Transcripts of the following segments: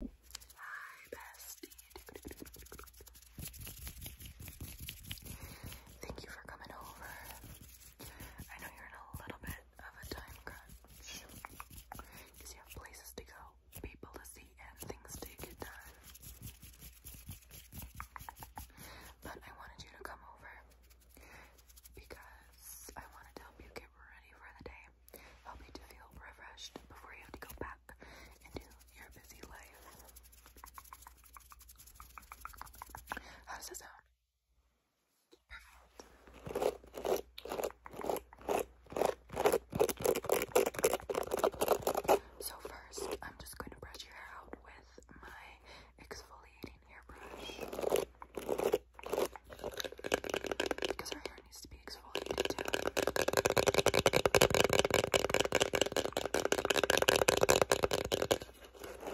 Hi, bestie. Thank you for coming over. I know you're in a little bit of a time crunch because you have places to go, people to see, and things to get done. But I wanted you to come over because I wanted to help you get ready for the day help you to feel refreshed before you have to go back into your busy life. How does it sound? So first, I'm just going to brush your hair out with my exfoliating hairbrush. Because our hair needs to be exfoliated too.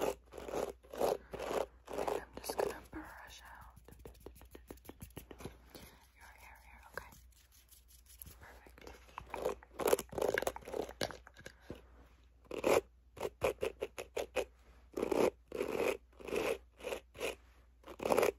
I'm just gonna brush out your hair here, okay? Perfect.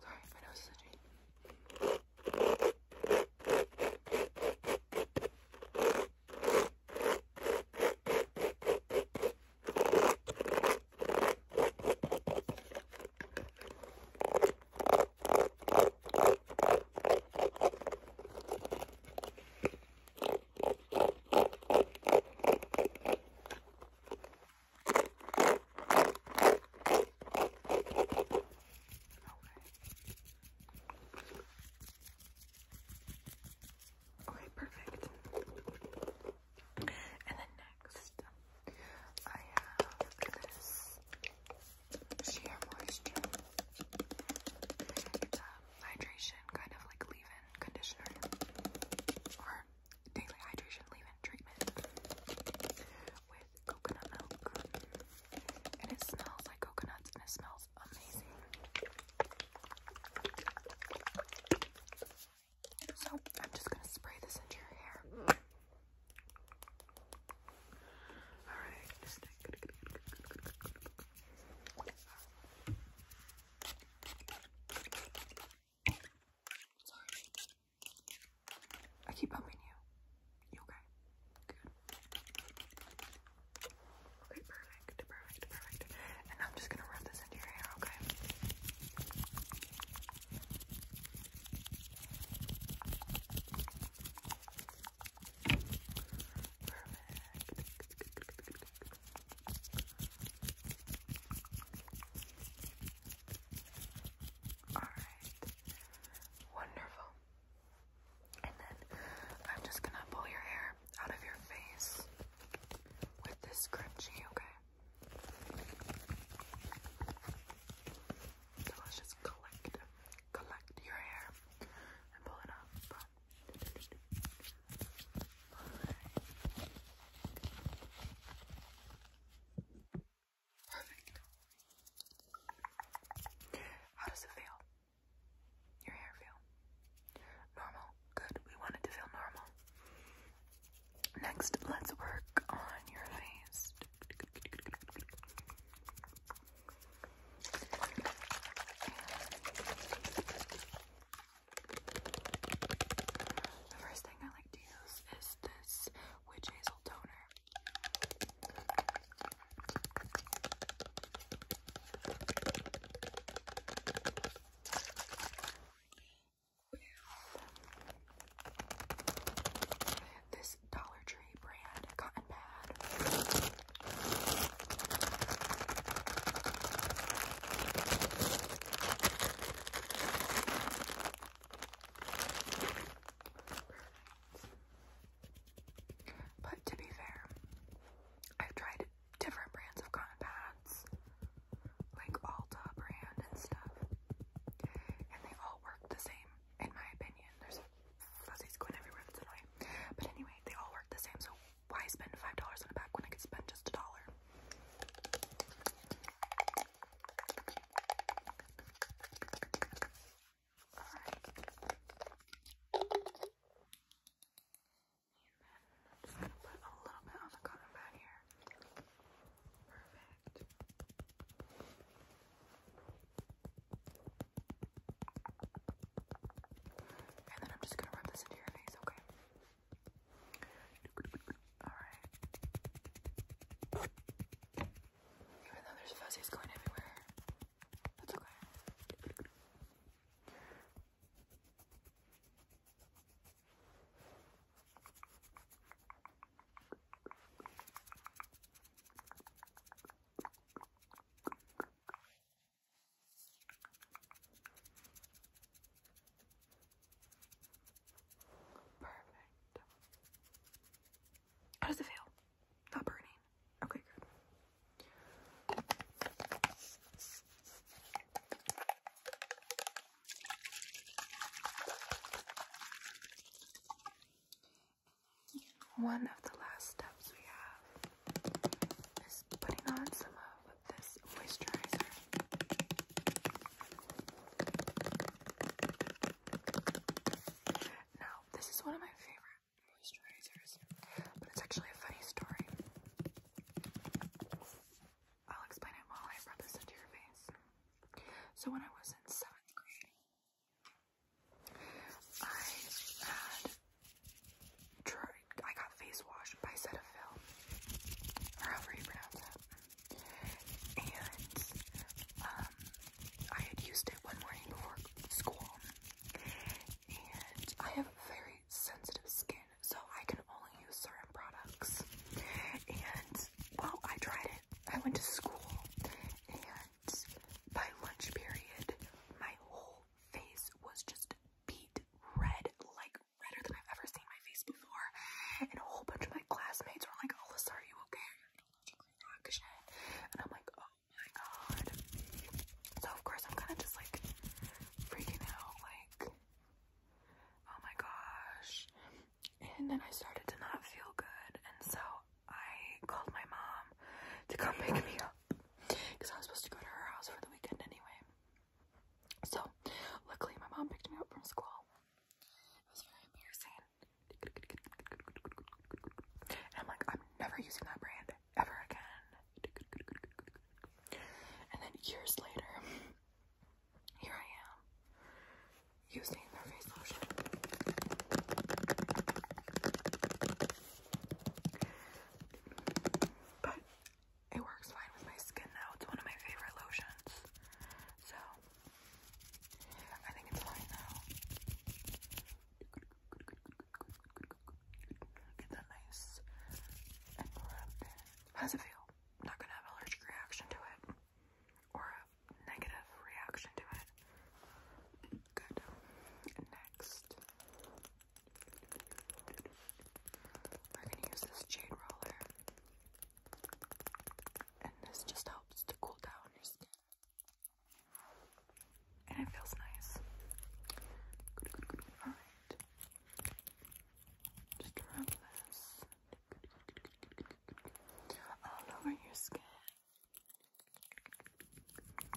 Sorry if I know this is Okay, perfect. And then next, I have this sheer moisture. hydration kind of like leave-in conditioner or daily hydration leave-in treatment with coconut milk. And it smells like coconuts and it smells amazing. So I'm just gonna spray this into your hair. Alright, Sorry. I keep bumping you. You okay? Good. Okay, perfect, perfect, perfect. And I'm just gonna rub this into your hair, okay? Perfect. Alright. Wonderful. And then I'm just gonna pull your hair out of your face with this scrunchie, okay? So let's just collect, collect your hair and pull it up. How does it feel? Your hair feel? Normal. Good. We want to feel normal. Next, let's work on your face. The first thing I like to use is this Witch Hazel toner. This Dollar Tree brand cotton pad. But to be fair, I've tried different brands of cotton pads, like Alta brand and stuff, and they all work the same, in my opinion. There's fuzzies going everywhere, that's annoying. But anyway, they all work the same, so why spend five dollars on a bag when I could spend just a dollar? Alright. just gonna put a little bit on the cotton pad here. Perfect. And then I'm just gonna rub this into your face, okay? Alright. Even though there's fuzzies going everywhere, that's okay. Perfect. How does it feel? Not burning. Okay, good. One of the last steps we have is putting on some of this moisturizer. Now, this is one of my favorite moisturizers, but it's actually a funny story. I'll explain it while I rub this into your face. So when I was in seventh grade, I had tried, I got face washed by Cetaphil, or however you pronounce it, and um, I had used it one morning before school, and I have very sensitive skin, so I can only use certain products, and, well, I tried it, I went to school, and by lunch period, my whole whole face was just beat red, like redder than I've ever seen my face before. And a whole bunch of my classmates were like, Alyssa, are you okay? And I'm like, oh my god. So of course I'm kind of just like freaking out, like, oh my gosh. And then I started to not feel good, and so I called my mom to come pick me up because I was supposed to go to her house for the weekend anyway. So, luckily, my mom picked me up from school. It was very embarrassing. And I'm like, I'm never using that brand ever again. And then years later, here I am using their face lotion. But it works fine with my skin now. It's one of my favorite lotions. So I think it's fine now. Get that nice and it feel? Not gonna have allergic reaction to it or a negative reaction to it. Good. Next, we're going to use this jade roller, and this just helps to cool down your skin. And it feels nice. Alright. Just rub this. All over your skin perfect,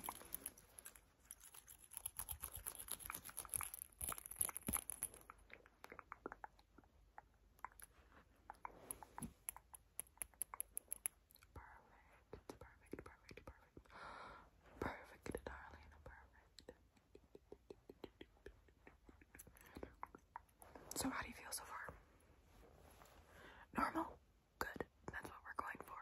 perfect, perfect, darling, perfect. So, how do you feel so far? Normal? Good. That's what we're going for.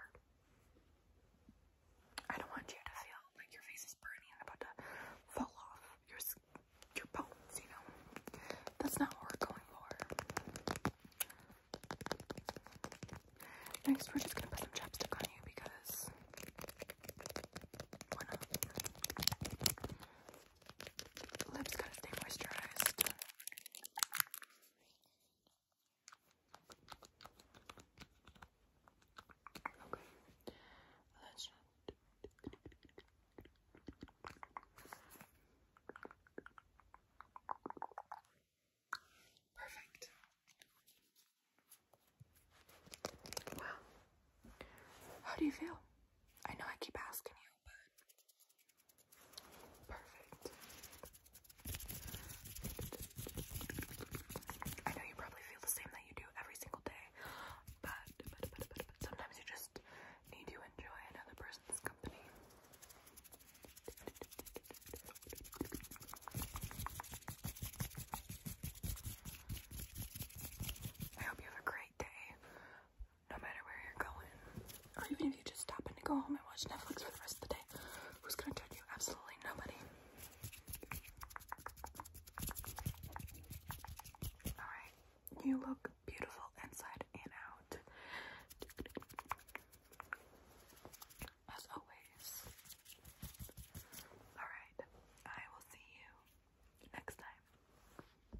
I don't want you to feel like your face is burning and about to fall off your your bones, you know? That's not what we're going for. Next, we're just gonna put some chapstick on you because lips gotta stay moisturized. Okay. Let's Perfect. Wow. How do you feel? I know I keep asking you now, but perfect. I know you probably feel the same that you do every single day, but, but, but, but, but sometimes you just need to enjoy another person's company. I hope you have a great day no matter where you're going, or even if you just stop and go home and watch Netflix for the rest of the day, who's gonna turn you? Absolutely nobody. Alright, you look beautiful inside and out. As always. Alright, I will see you next time.